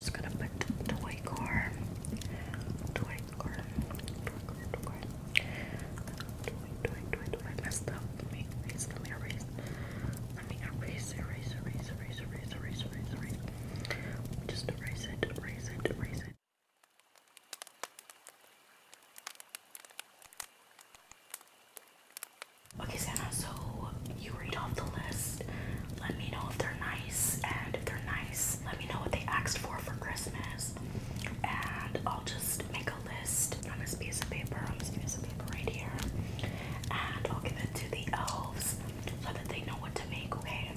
just gonna put toy car, toy car, toy car, toy car, toy, toy, toy, toy. I up. Let me erase, let me erase, let me erase, erase, erase, erase, erase, erase, erase, Just erase it, erase it, erase it. Okay, so you read off the list. Let me know if they're nice, and if they're nice, let me know what they asked for for Christmas, and I'll just make a list on this piece of paper, i on this piece of paper right here, and I'll give it to the elves so that they know what to make. Okay?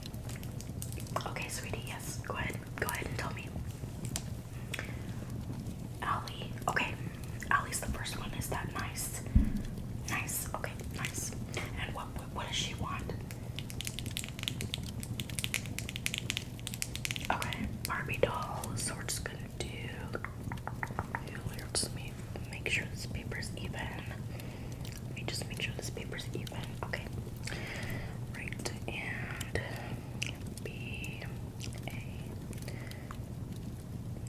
Okay, sweetie. Yes. Go ahead. Go ahead and tell me. Allie. Okay. Allie's the first one. Is that nice? Nice. Okay, nice. And what what, does she want? Okay, Barbie doll. So we're just gonna do let's make sure this paper's even. Let me just make sure this paper's even. Okay. Right and B A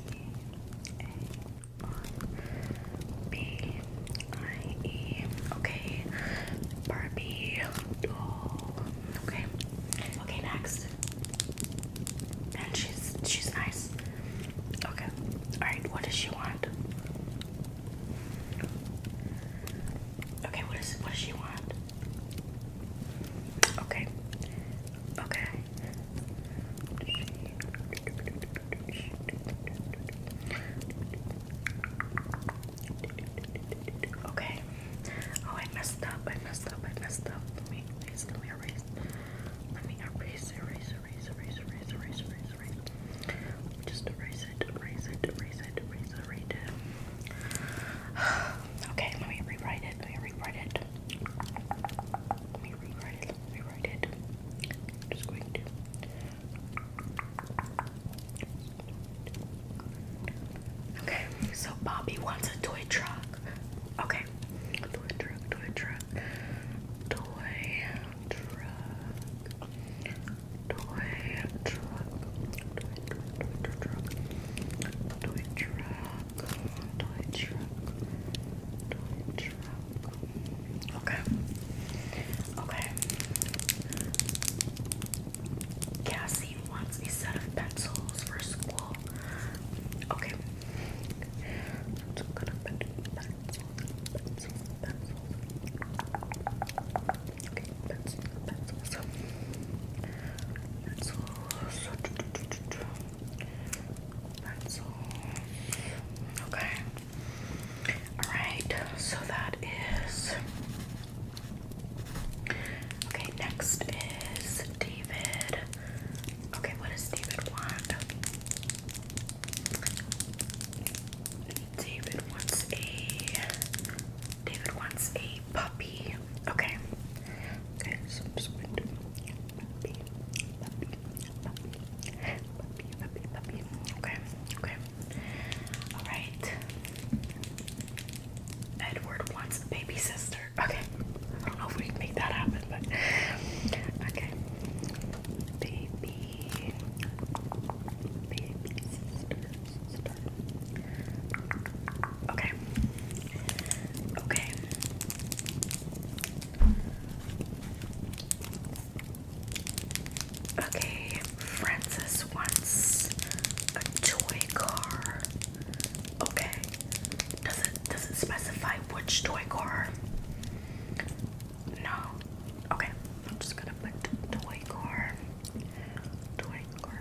B A B I E. Okay. Barbie doll. Oh, okay. Okay, next. And she's she's nice. Okay. Alright, what does she want? Okay, what is what does she want? Okay. Okay. Okay. Oh, I messed up. I messed up. I messed up. Let me Let me erase. Let me erase. Erase. Erase. Erase. Erase. Erase. Erase. Just Erase it. Erase it. Erase it. Erase it. Okay. Let me rewrite it. Let me rewrite it. Let me rewrite it. Let me rewrite it. just going to. Okay, so Bobby wants a toy truck. Okay, toy truck, toy truck, toy truck, toy truck, toy truck, toy truck, Okay, okay. Cassie wants a set of pencils for school. Okay. i gonna pencils, pencils, pencils. pencils, pencils. Pencils. Okay. Alright, so that is. Okay, next is David. Okay, what does David want? David wants a. David wants a puppy, Okay. Okay, so I'm just going to puppy, puppy, puppy, puppy, puppy, puppy. Okay, okay. Alright. Edward wants baby sister. Okay. I don't know if we can make that happen, but okay. Baby. Baby sister. Okay. Okay. Okay, Francis wants a toy car. Okay. Does it does it specify which toy car? No. Okay. I'm just gonna put toy car. Toy car.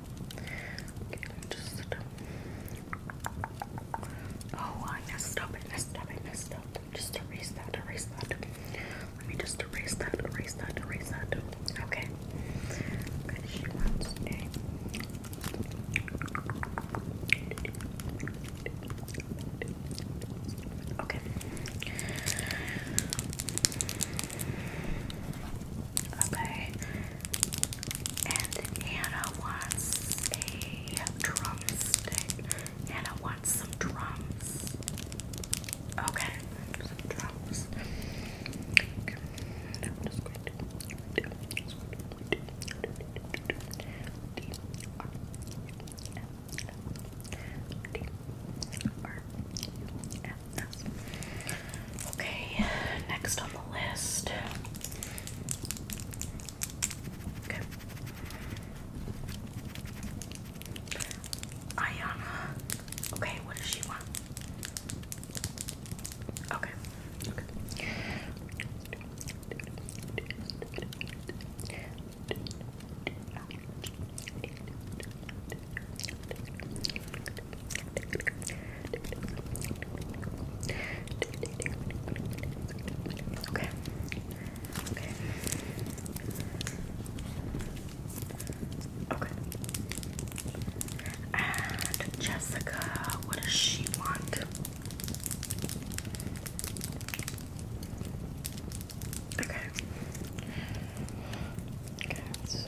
Okay, Oh, I messed up, I messed up, I messed up. Just erase that, erase that. Let me just erase that, erase that, erase that. Okay. Okay. Okay. And Anna wants a drumstick. Anna wants some drums. Okay, Okay, next on the list. Ayana. Okay, what does she want? Okay. Okay. Okay. Okay. And Jessica, what does she want? Okay. Okay, so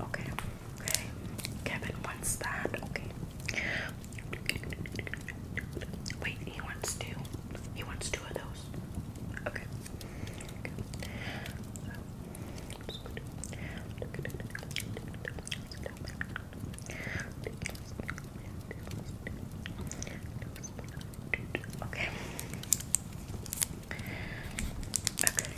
Okay, okay. Kevin wants that. Okay. Wait, he wants two. He wants two of those. Okay. Okay. Okay.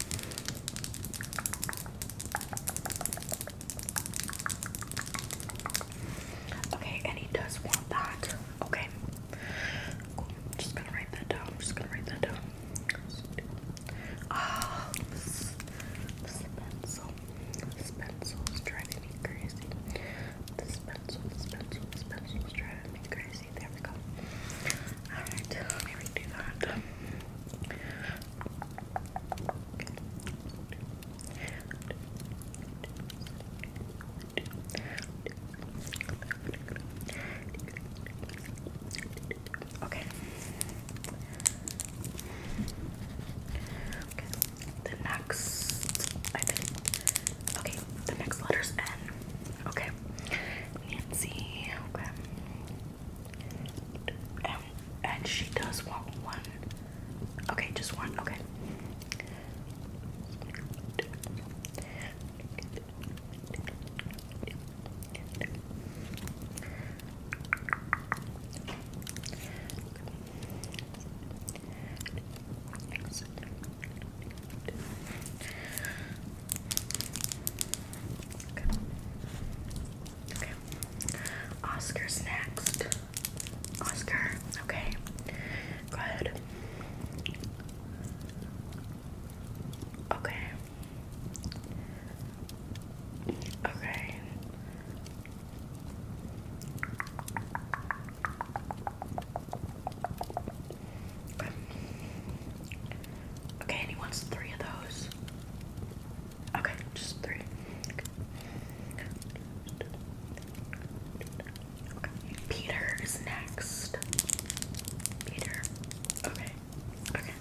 Okay, and he does want that. Okay. I'm just gonna write that down. I'm just gonna write that down. Ah, oh, pencil. pencil is driving me crazy. pencil, pencil, pencil is driving me crazy. There we go. Alright, let me redo that. Okay. Okay. The next, Okay, the next letter's N. Okay. Nancy. Okay. and she does want one. Okay, just one. Okay. Okay. Oscar's next. Oscar. Okay. Good. Okay. Okay. Okay. and he wants three of those. Okay, just three. Peter is next. Peter. Okay. Okay.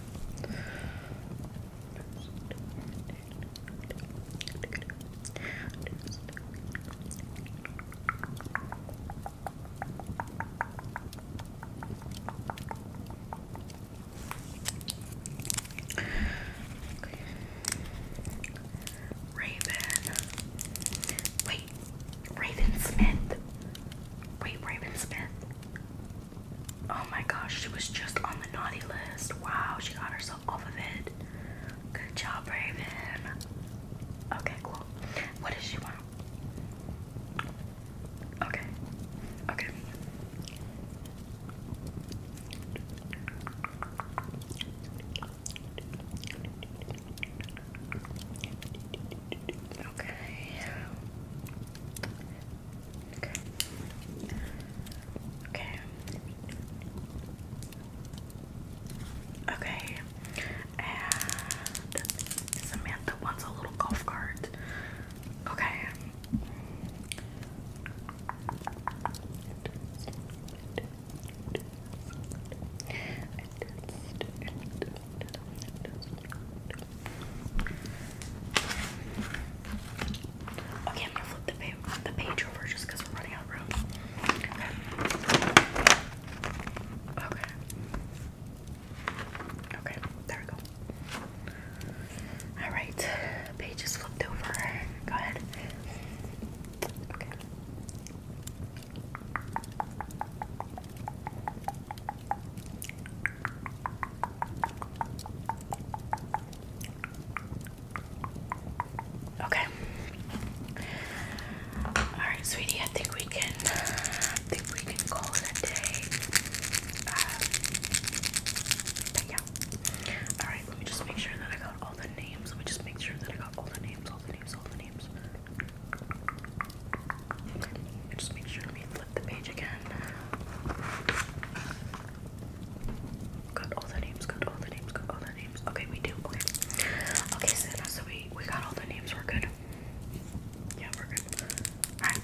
Raven. Wait, Raven Smith. Wait, Raven Smith. Oh my gosh, she was just on the naughty list. Wow, she got herself off of it. Good job, Raven. Okay, cool. What does she want? Okay. Okay. Okay. Okay. Okay. Okay. And Samantha wants a little golf cart. Okay. Okay, I'm gonna flip the page, the page over just because we're running out of room. Okay. Okay. There we go. All right, page is flipped over. Go ahead. Okay. Okay. All right, sweetie. I think we can. I think we can call it a day. Um, yeah. Alright, let me just make sure that I got all the names. Let me just make sure that I got all the names, all the names, all the names. And just make sure let me flip the page again. Got all the names, got all the names, got all the names. Okay, we do. Okay. Okay, so now so we we got all the names, we're good. Yeah, we're good. Alright.